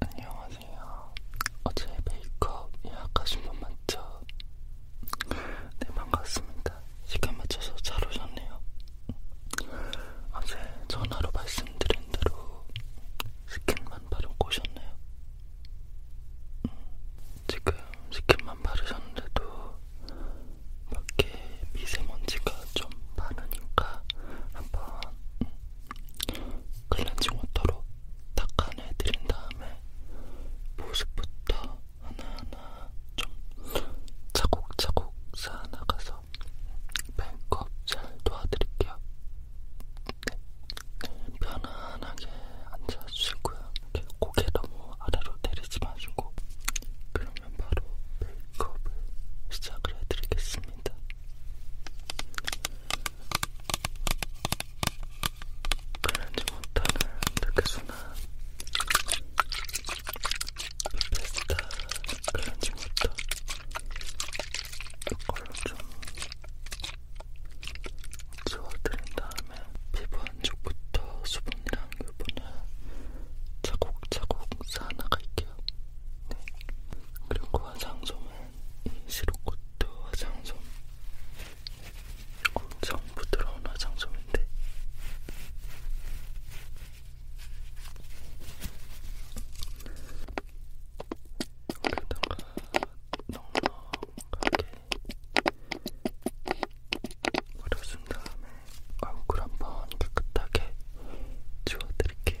안녕하세요. 어제 메이크업 예약하신 분 맞죠? 네, 반갑습니다. 시간 맞춰서 잘 오셨네요. 어제 전화로 말씀드린 대로 스킨만 바르고 오셨네요. 음, 지금 스킨만 바르셨는데도 밖에 미세먼지가 좀 많으니까 한번 클렌징 워터로 닦아내드린 다음에 모습부터 하나하나 좀 차곡차곡 쌓아나가서 메이크업 잘 도와드릴게요. 네. 네 편안하게 앉아주시고요. 고개 너무 아래로 내리지 마시고 그러면 바로 메이크업을 시작을 해드리겠습니다. 클렌징 워터는 이렇게 순한 베스타 클렌징 워터 이걸로 좀 지워드린 다음에 피부 안쪽부터 수분이랑 유분을 차곡차곡 쌓아나갈게요. 네. 그리고 화장솜을 인시로코트 화장솜 엄청 부드러운 화장솜인데 여기다가 넉넉하게 뿌려준 다음에 얼굴 한번 깨끗하게 지워드릴게요.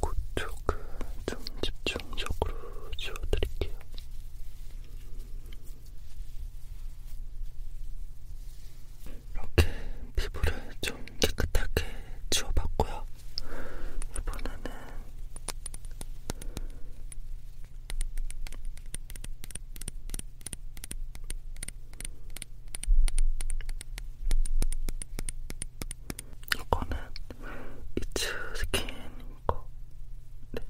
그쪽은 좀 집중적으로 지워드릴게요. 이렇게 피부를 좀 깨끗하게 지워봤고요. 이번에는 이거는 이츠 스킨 거. 네.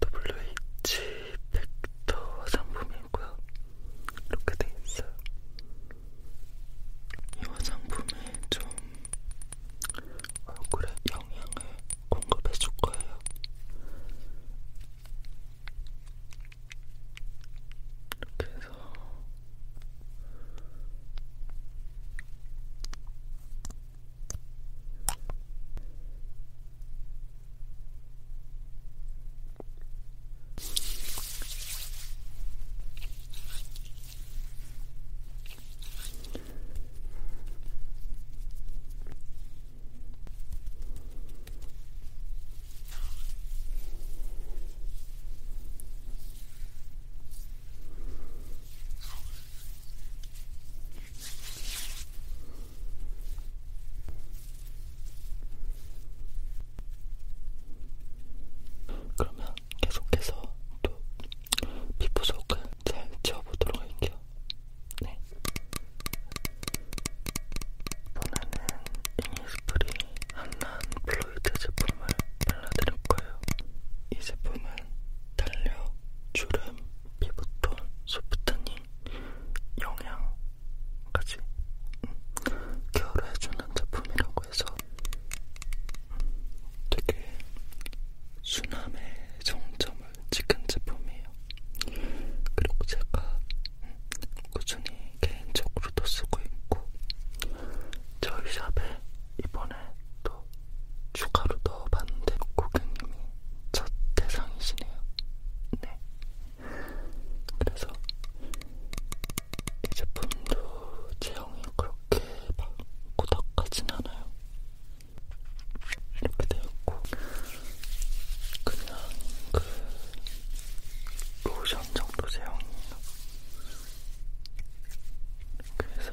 WH 팩터 화장품이고요. 이렇게 돼 있어요. 이 화장품이 좀 얼굴에 영향을 공급해 줄 거예요. 이렇게 해서 그러면 계속해서 또 피부 속을 잘 채워보도록 할게요. 네. 오늘은 이니스프리 한난 플로이드 제품을 발라드릴 거예요. 이 제품은 탄력, 주름, 피부톤, 소프트닝, 영양까지 음, 케어를 해주는 제품이라고 해서 음, 되게 순함의 정점을 찍은 제품이에요. 그리고 제가 꾸준히 개인적으로도 쓰고 있고 저희 샵에 이번에 또 추가로 넣어봤는데 고객님이 첫 대상이시네요. 네. 그래서 이 제품도 제형이 그렇게 막 고닥하진 않아요. 이렇게 되었고 그냥 그 로션 정도 제형이에요. 그래서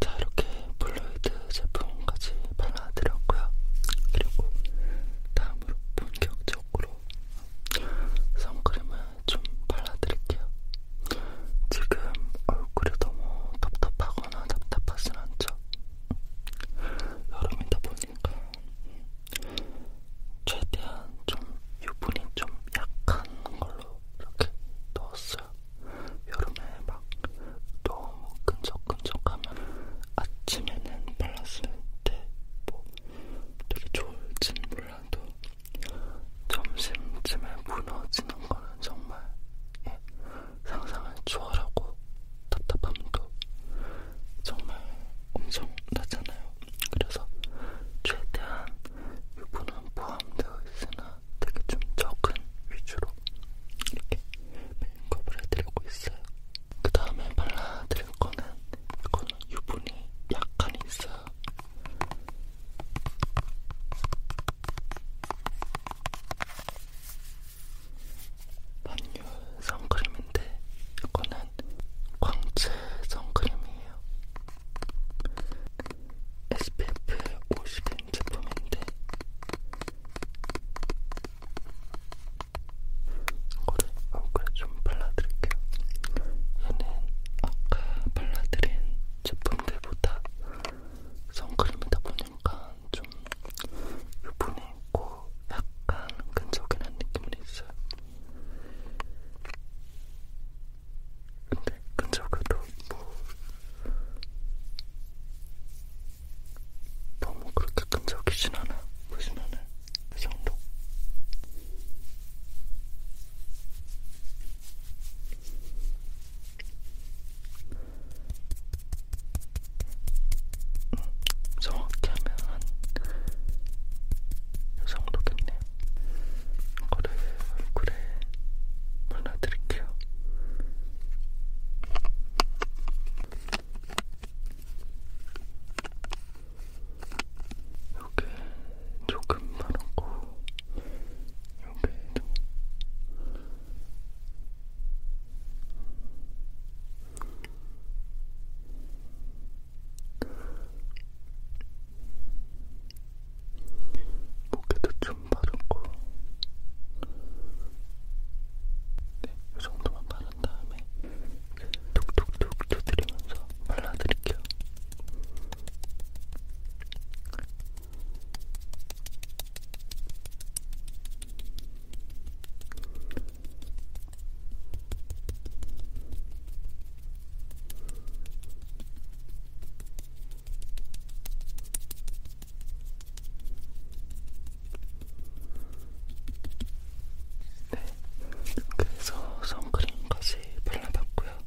자, 이렇게 블루이드 제품까지 발라드렸고요. 그리고 다음으로 본격적으로 선크림을 좀 발라드릴게요. 지금 얼굴이 너무 답답하거나 답답하진 않죠? 보니까 여름이다 보니까 최대한 좀 유분이 좀 약한 걸로 이렇게 넣었어요. 여름에 막 너무 끈적끈적하면 아침에는 발랐을 때 뭐 되게 좋을진 몰라도 점심쯤에 무너지는 거는 정말 예, 상상은 초월하고 답답함도 정말 엄청나잖아요. 그래서 최대한 유부는 포함되어 있으나 되게 좀 적은 위주로 이렇게 메이크업을 해드리고 있어요. 그 다음에 발라드릴 거는 이거는 유분이 약간 있어요. 반유 선크림인데 이거는 광채 선크림이에요. SPF 50인 제품인데 이거를 얼굴에 좀 발라드릴게요. 얘는 아까 발라드린 제품들보다 선크림이다 보니까 좀 유분이 있고 약간 끈적이는 느낌은 있어요. 근데 끈적여도 뭐 너무 그렇게 끈적이진 않아. 보시면은 그 정도. 음, 정확히 하면 한이 정도겠네요. 이거를 얼굴에 발라드릴게요. 여기 조금 바르고 여기도 목에도 좀 바르고 네, 이 정도만 바른 다음에 툭툭툭 두드리면서 발라드릴게요. 네, 그래서 선크림까지 발라봤고요.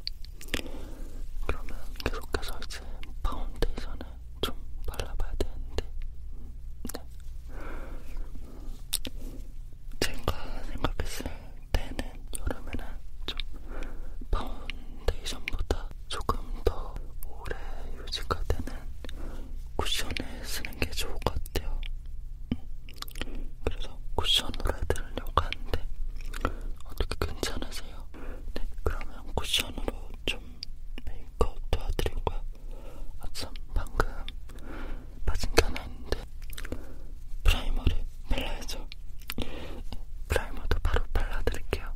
그러면 계속해서 이제 파운데이션을 좀 발라봐야 되는데 네. 제가 생각했을 때는 여름에는 좀 파운데이션보다 조금 더 오래 유지가 되는 쿠션을 쓰는 게 좋을 것 같아요. 그래서 쿠션으로 해드리려고 하는데 어떻게 괜찮으세요? 네, 그러면 쿠션으로 좀 메이크업 도와드린 거야. 아참 방금 빠진 게 하나 있는데 프라이머를 발라야죠. 프라이머도 바로 발라드릴게요.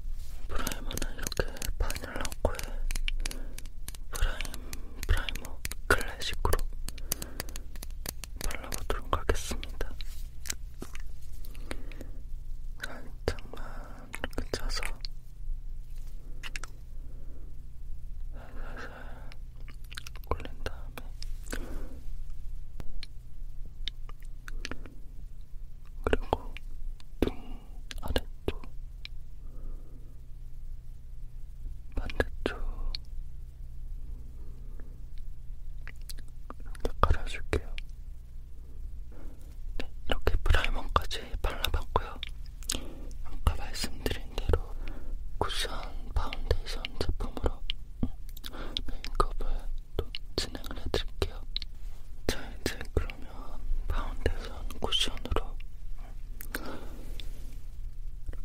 프라이머는 이렇게 바닐라 코에 프라임 프라이머 클래식으로 발라보도록 하겠습니다. 살짝만 이렇게 짜서 살살살 굴린 다음에 그리고 눈 아래쪽 반대쪽 이렇게 깔아줄게요. 네, 이렇게 프라이머까지 발라봤고요. 아까 말씀드린 대로 쿠션 파운데이션 제품으로 메이크업을 또 진행을 해드릴게요. 자, 이제 그러면 파운데이션 쿠션으로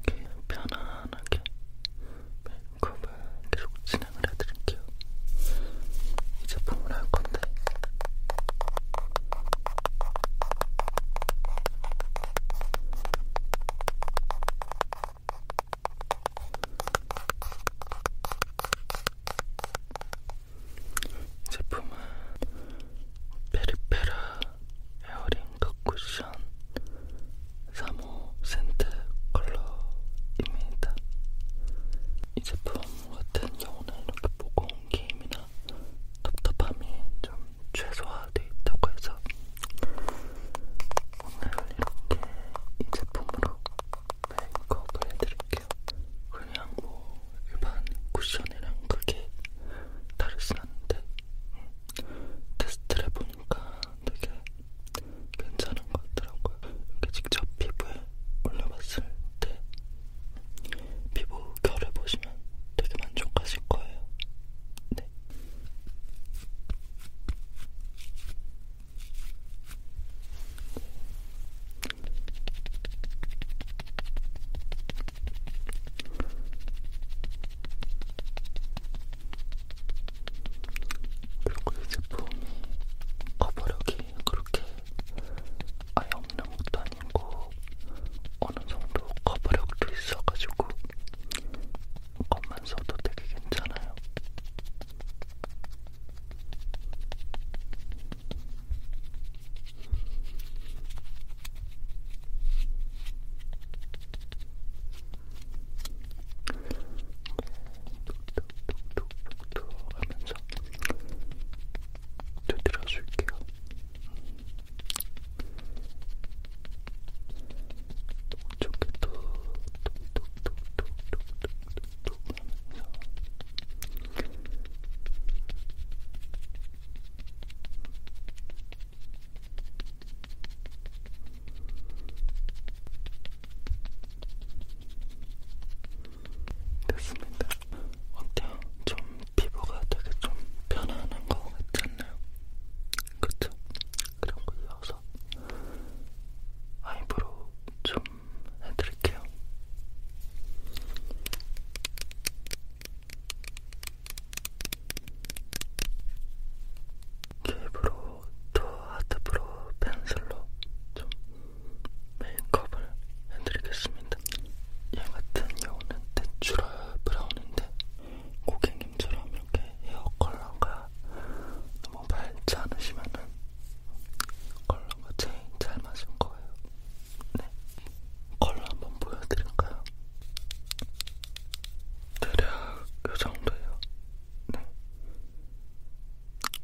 이렇게 편안하게 메이크업을 계속 진행을 해드릴게요. 이 제품을 할 건데. 이 제품은 페리페라 에어링 컷쿠션 3호 센트 컬러입니다. 이 제품 같은 경우는 이렇게 무거운 게임이나 답답함이 좀 최소화되어 있다고 해서 오늘 이렇게 이 제품으로 메이크업을 해드릴게요. 그냥 뭐 일반 쿠션이랑 크게 다르진 않는데 음, 테스트를 해보니까 되게 괜찮은 것 같더라고요. 이렇게 직접 피부에 올려봤을 때 피부 결을 보시면 되게 만족하실 거예요. 네. 그리고 이 제품이 커버력이 그렇게 아예 없는 것도 아니고 어느 정도 커버력도 있어가지고 겉만 써도 되게 괜찮아요. 톡톡톡톡 하면서 두드려 줄게요. 쪽에도 톡톡톡톡톡톡톡 하면서 음, 됐습니다. 어때요? 좀 피부가 되게 좀 편안한 거 같지 않나요? 그쵸? 그런 거 이어서 아이브로우 좀 해드릴게요. 캡으로 또 하드브로우 펜슬로 좀 메이크업을 해드리겠습니다. 얘 같은 경우는 내추럴 브라운인데 고객님처럼 이렇게 헤어 컬러가 너무 밝지 않으시면은 컬러가 제일 잘 맞은 거예요. 네, 컬러 한번 보여드릴까요? 대략 이 정도예요. 네,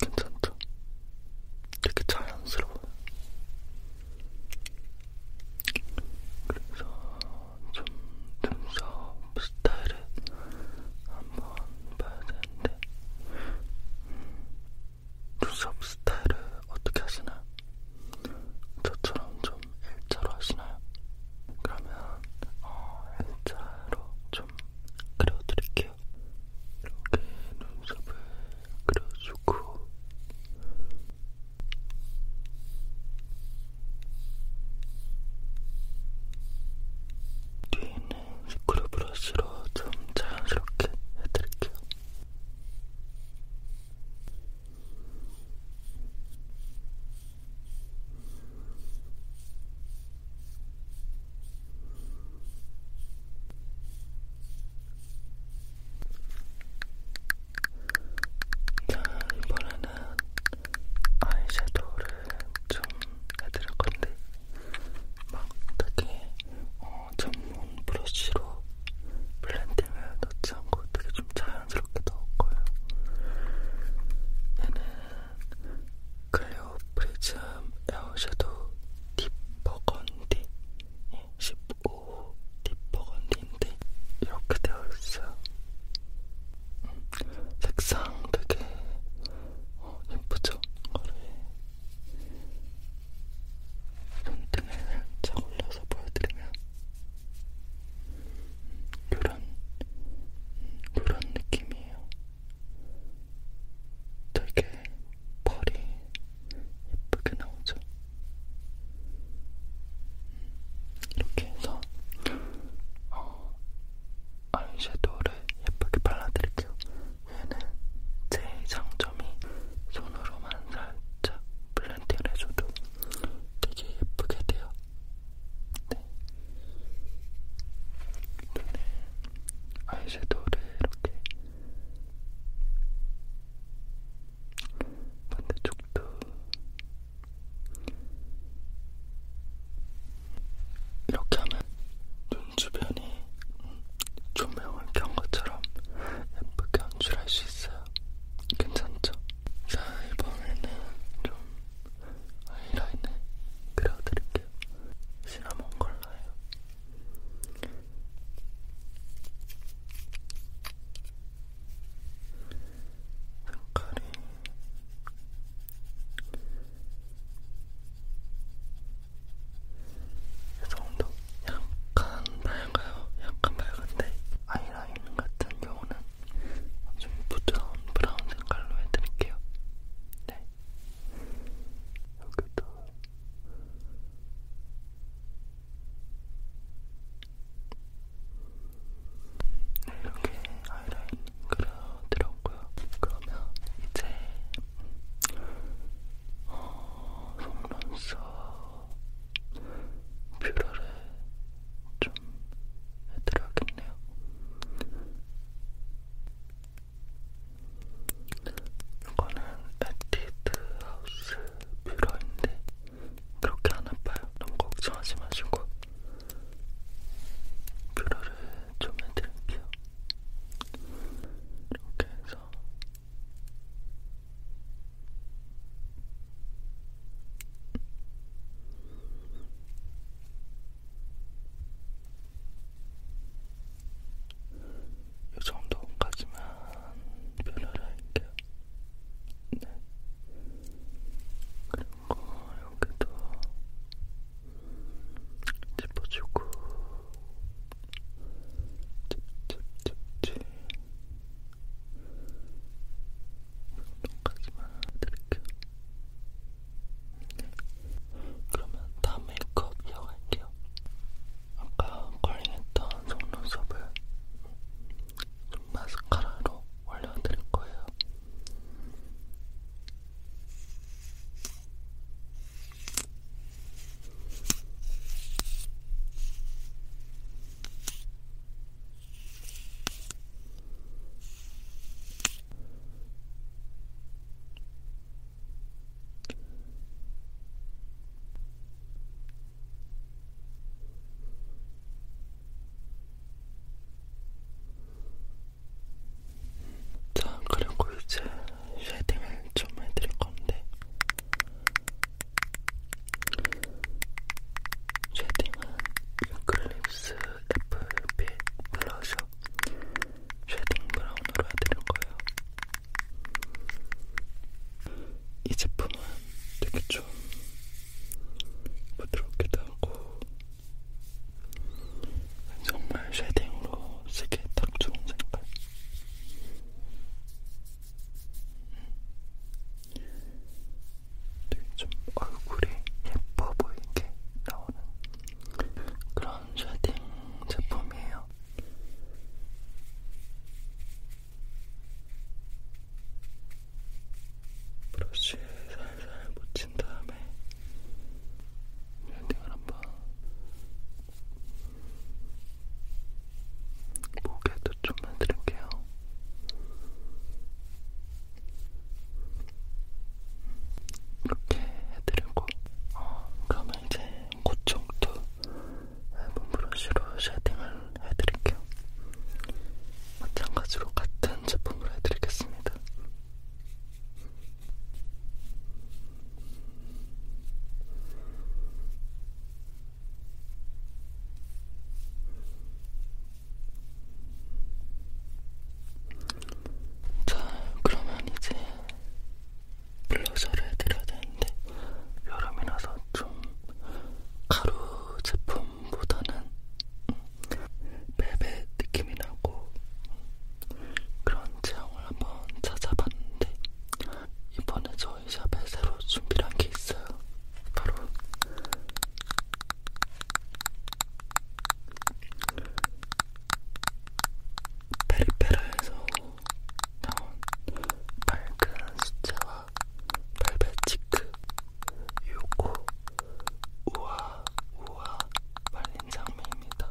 괜찮죠? 되게 자연스러워요. 그래서 좀 눈썹 스타일을 한번 봐야 되는데 음, 눈썹 스타일을 어떻게 하시나요? 저처럼 좀 일자로 하시나요? 그러면 어, 일자로 좀 그려드릴게요. 이렇게 눈썹을 그려주고 뒤에 있는 스크류 브러쉬로 좀 자연스럽게 해드릴게요. 자, 이번에는 아이섀도우를 좀 해드릴 건데, 막 되게 어, 전문 브러쉬로 블렌딩을 넣지 않고 되게 좀 자연스럽게 넣을 거예요. 얘는 클리오 에어 프리즘 에어 섀도우 딥 버건디 15호 예, 딥 버건디인데 이렇게 되어 있어요. 음, 색상 되게 어, 예쁘죠? 그래. 손등에 살짝 올려서 보여드리면 음, 요런 음, 요런 느낌이에요. 되게 펄이 예쁘게 나오죠. 이렇게 해서 어, 아이섀도우를 예쁘게 발라드릴게요. 얘는 제 장점이 손으로만 살짝 블렌딩을 해줘도 되게 예쁘게 돼요. 네. 아이섀도우를 이렇게 반대쪽도 이렇게 하면 눈 주변이 조명을 켠 것처럼 예쁘게 연출할 수 있어요. 괜찮죠? 자, 이번에는 좀 하이라인을 그려드릴게요. 시나몬 컬러예요. 색깔이 이 정도 약간 밝아요. 약간 밝은데 아이라인 같은 경우는 좀 부드러운 브라운 색깔로 해드릴게요. 네. 여기도 이렇게 아이라인 그려드렸고요. 그러면 이제 어, 속눈썹 뷰러를 좀 해드려야겠네요. 이거는 에뛰드 하우스 뷰러인데 그렇게 안 아파요. 너무 걱정하지 마시고 뷰러를 좀 해드릴게요. 이렇게 해서 이 정도까지만 변화를 할게요. 네. 그리고 여기도 짚어주고 찝찝찝찝 이 정도까지만 드릴게요. 네. 그러면 다음 메이크업 이어갈게요. 아까 컬링했던 속눈썹을 좀 마스카라로 올려드릴 거예요. 자, 그리고 이제 쉐딩을 좀 해드릴 건데, 쉐딩은 유클립스 그 FB 블러셔 쉐딩 브라운으로 해드릴 거예요. 이 제품은 되게 좀 부드럽기도 하고 정말 쉐딩으로 쓰기에 딱 좋은 색깔. 되게 좀 얼굴이 예뻐 보이게 나오는 그런 쉐딩 제품이에요. 브러쉬에 살살 묻힌 다음에 랜딩을 한번 목에도 좀 해드릴게요. 이렇게 해드리고 어, 그러면 그러면 이제 그쪽도 얇은 브러쉬로 쉐딩을 해드릴게요. 마찬가지로 같은 제품으로 해드리겠습니다. 자, 그러면 이제 블러셔를 해드려야 되는데 여름이라서 좀 가루 제품보다는 음, 베베 느낌이 나고 그런 제형을 한번 찾아봤는데 이번에 저희 샵에 새로 준비한 게 있어요. 바로 페리페라에서 나온 밝은 수채화 발베치크 요거 우아 우아 말린 장미입니다.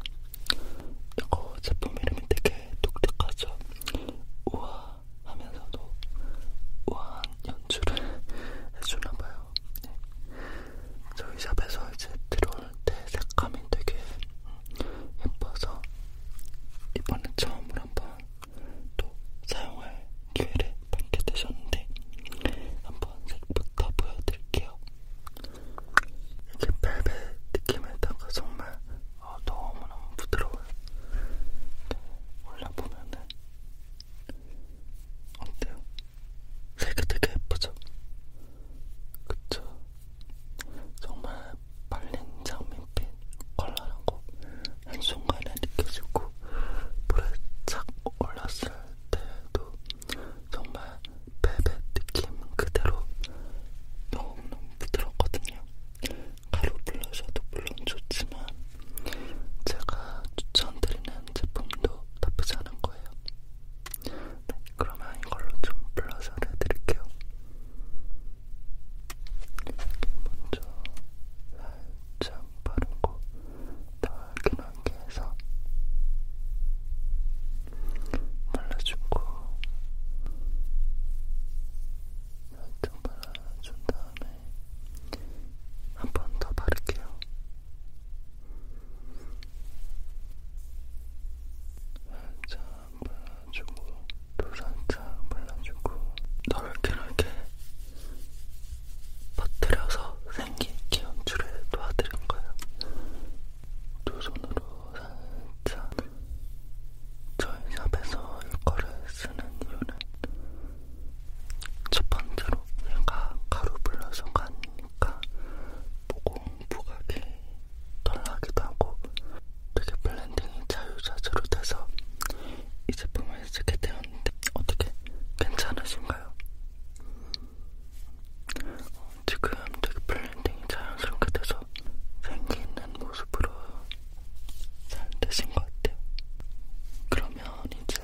이거 제품 이름이 되게 독특하죠. 우아 하면서도 우아한 연출을 해주나봐요. 네. 저희 샵에서 이제 들어온 때 색감이 되게 예뻐서 이번에 처음으로 한번 또 사용할 기회를 받게 되셨는데 한번 색부터 보여드릴게요. 이게 벨벳 느낌에다가 정말 어, 너무너무 부드러워요. 네, 올라보면은 어때요? 색이 되게 예쁘죠? 그쵸? 정말 발린 장밋빛 컬러라고 한순간에 느껴지고 물에 착 올랐을 때도 정말 베벳 느낌 그대로 너무너무 부드럽거든요. 가루 블러셔도 물론 좋지만 제가 추천드리는 제품도 나쁘지 않은 거예요. 네, 그러면 이걸로 좀 블러셔를 해드릴게요. 먼저 살짝 바르고 달큰하게 해서 발라주고 살짝 발라준 다음에 한 번 더 바를게요. 살짝 발라주고 또 살짝 발라주고 넓게 넓게 퍼뜨려서 생긴 기운줄을 도와드린 거예요. 두 손으로 살짝 저희 샵에서 이거를 쓰는 이유는 첫 번째로 얘가 가루 불러서가 아니니까 보고 부각이 덜하기도 하고 되게 블렌딩이 자유자재로 돼서 이 제품을 쓰게 되었는데 어떻게 괜찮으신가요? 어, 지금 되게 블렌딩이 자연스럽게 돼서 생기 있는 모습으로 잘 되신 것 같아요. 그러면 이제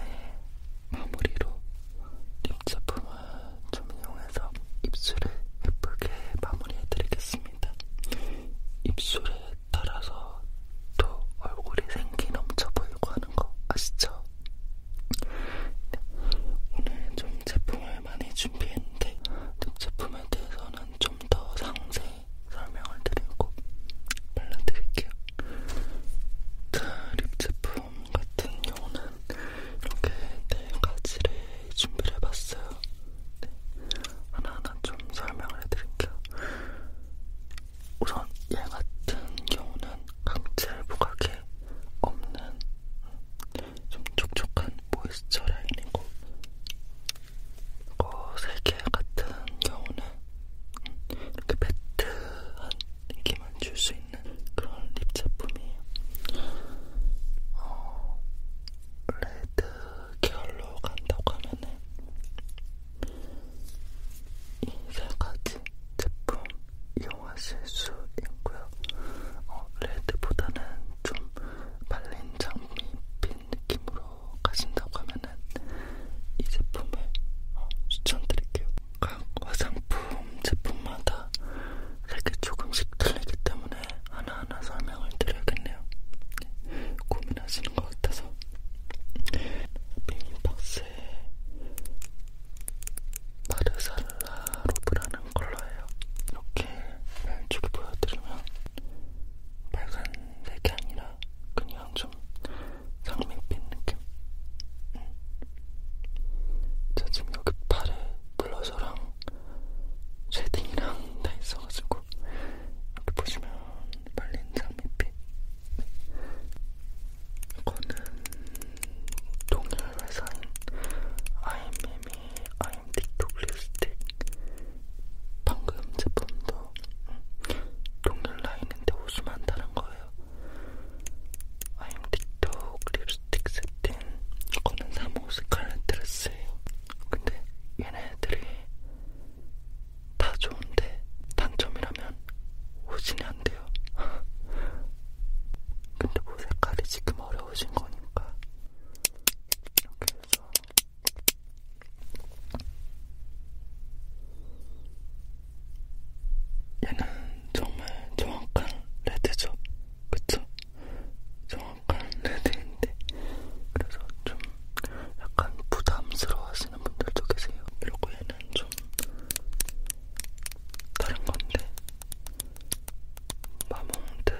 마무리로 립 제품을 좀 이용해서 입술을 예쁘게 마무리해드리겠습니다. 입술에 따라서 또 얼굴이 생기 넘쳐 보이고 하는 거 아시죠? 네. 오늘 좀 제품을 많이 준비했는데 제품에 대해서는 좀 더 상세히 설명을 드리고 발라드릴게요. 자, 립 제품 같은 경우는 이렇게 네 가지를 준비를 해봤어요. 네. 하나하나 좀 설명을 해드릴게요. 우선 얘 같은 경우는 각질 부각이 없는 음, 좀 촉촉한 모이스처 라인이고 거세개 같은 경우는 음, 이렇게 매트한 느낌을 줄수 있는 그런 립 제품이에요. 어, 레드 계열로 간다고 하면은 이세 가지 제품 이용하실 수 있고요. 어, 레드보다는 좀 말린 장미빛 느낌으로 가신다고 하면은 이 제품을 어, 추천드릴게요. 각 화장품 제품 제품마다 색이 조금씩 틀리기 때문에 하나하나 설명을 드려야겠네요. 네, 고민하시는 것 같아서 비닐박스에 마르살라 로브라는 컬러예요. 이렇게 왼쪽에 보여드리면 빨간색이 아니라 그냥 좀 장밋빛 느낌. 음. 저 지금 여기 팔에 블러셔랑 쉐딩이랑 다 있어가지고 이렇게 보시면 말린 장밋빛 이거는 동일 회사인 아이미미 아임틱톡 립스틱 방금 제품도 동일 라인인데 호수만 다른 거예요 아임틱톡 립 립스틱 세틴 이거는 3호 스칼렛 드레스예요. 근데 얘네들이 다 좋은데 단점이라면 호진이 안 돼요. 근데 뭐 색깔이 지금 어려워진 거니까 이렇게 해서 얘는 정말 정확한 레드죠, 그쵸? 정확한 레드인데 그래서 좀 약간 부담스러워하시는 분들도 계세요. 그리고 얘는 좀 다른 건데 마몽드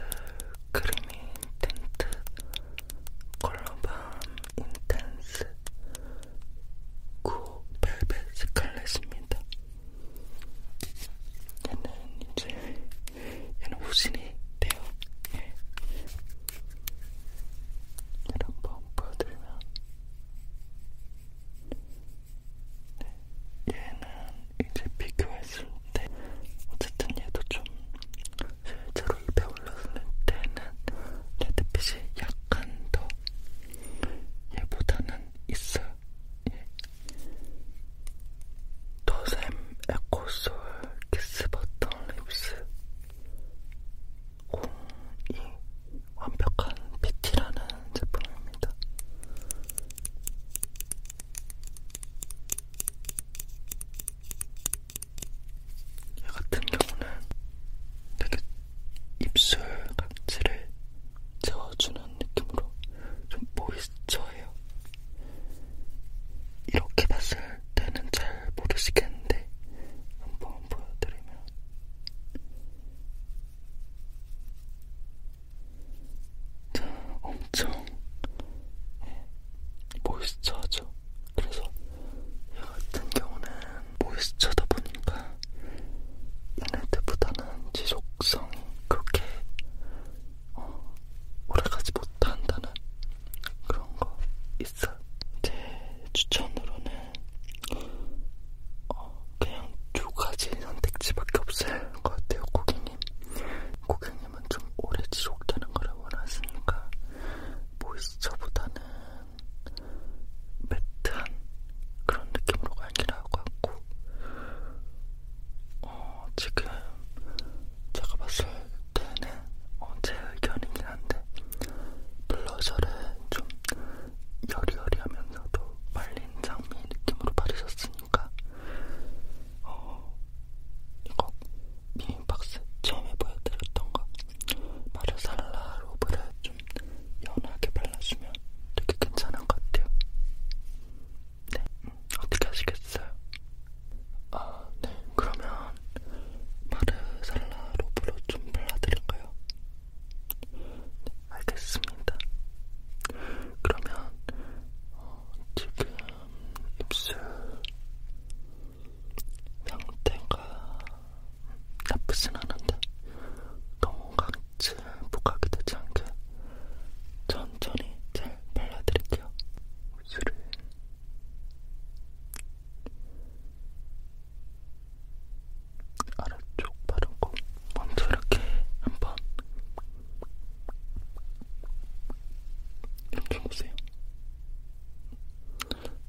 크리미 틴트 컬러밤 인텐스 구호 벨벳 스칼렛입니다. 얘는 이제 얘는 후신이 돼요. 예. 얘를 한번 보여드리면 네. 얘는 이제 비교했을 때 어쨌든 얘도 좀 실제로 입에 올랐을 때는 레드빛이 약간 더 얘보다는 있어요. 예. 더샘 에코솔 키스버튼 립스 02 완벽한 PT라는 제품입니다. 얘 같은 경우는 되게 입술 각질을 채워주는 느낌으로 좀 모이스처해요. 이렇게 봤을 때는 잘 모르시겠는데 한번 보여드리면 자, 엄청 예, 모이스처하죠. 그래서 얘 같은 경우는 모이스처다 보니까 얘네들보다는 지속성이 그렇게 어, 오래가지 못한다는 그런 거 있어. 제 추천으로는 어, 그냥 두 가지 선택지밖에 없을 것 같아요, 고객님. 고객님은 좀 오래 지속되는 거를 원하시니까 모이스처보다는 뭐 매트한 그런 느낌으로 갈기라고 하고 어, 지금 제가 봤을 때는 어, 제 의견이긴 한데 블러셔를 좀 여리여리하면서도 말린 장미 느낌으로 바르셨으니까 어, 이거 미인박스 처음에 보여드렸던 거 마르살라 로브를 좀 연하게 발라주면 되게 괜찮은 것 같아요. 네, 어떻게 하시겠어요? 아, 네, 그러면 마르살라 로브로 좀 발라드릴까요? 네, 알겠습니다. 그러면 어, 지금 입술 상태가 나쁘진 않은데 너무 건강증 부각이 되지 않게 천천히 잘 발라드릴게요. 입술을 아래쪽 바르고 먼저 이렇게 한번 이렇게 보세요.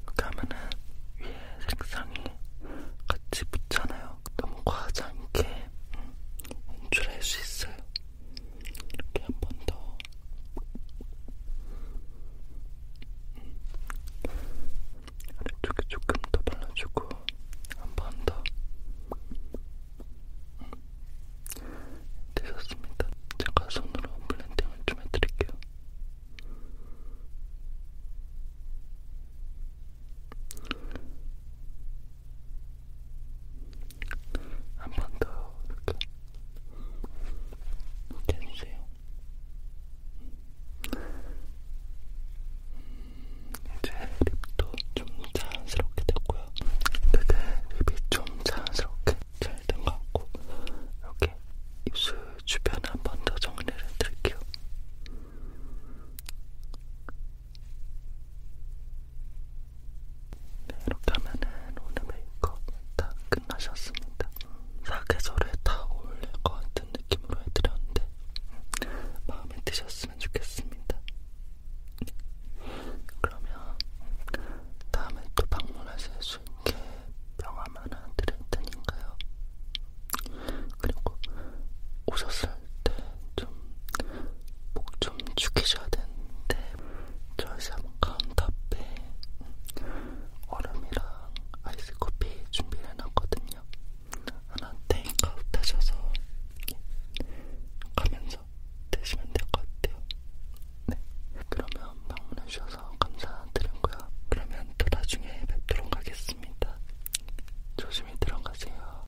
이렇게 하면은 위에 색상이 같이 붙잖아요. 너무 과하지 않게 연출할 수 있어요. 이렇게 한 번 더. 음. 아래쪽에 조금 더 발라주고 한 번 더. 음. 되셨습니다. 제가 손으로 블렌딩을 좀 해드릴게요. 한번더 이렇게 해주세요. 이제 립도 좀 자연스럽게 됐고요. 근데 립이 좀 자연스럽게 잘 된 것 같고 이렇게 입술 주변 한 번 더 정리를 드릴게요. 네, 이렇게 하면은 오늘 메이크업 다 끝나셨습니다. 사계절에 다 어울릴 것 같은 느낌으로 해드렸는데 마음에 드셨으면 좋겠습니다. 그러면 다음에 또 방문하실 수 있게 명함 하나 드릴 테니까요. 그리고 오셨을 때 좀목좀 좀 죽이셔야 되는데 절삼 카운터에 얼음이랑 아이스커피 준비를 해놨거든요. 하나 테이크아웃 하셔서 가면서 드시면 될 것 같아요. 네, 그러면 방문해주셔서 감사드리고요. 그러면 또 나중에 뵙도록 하겠습니다. 조심히 들어가세요.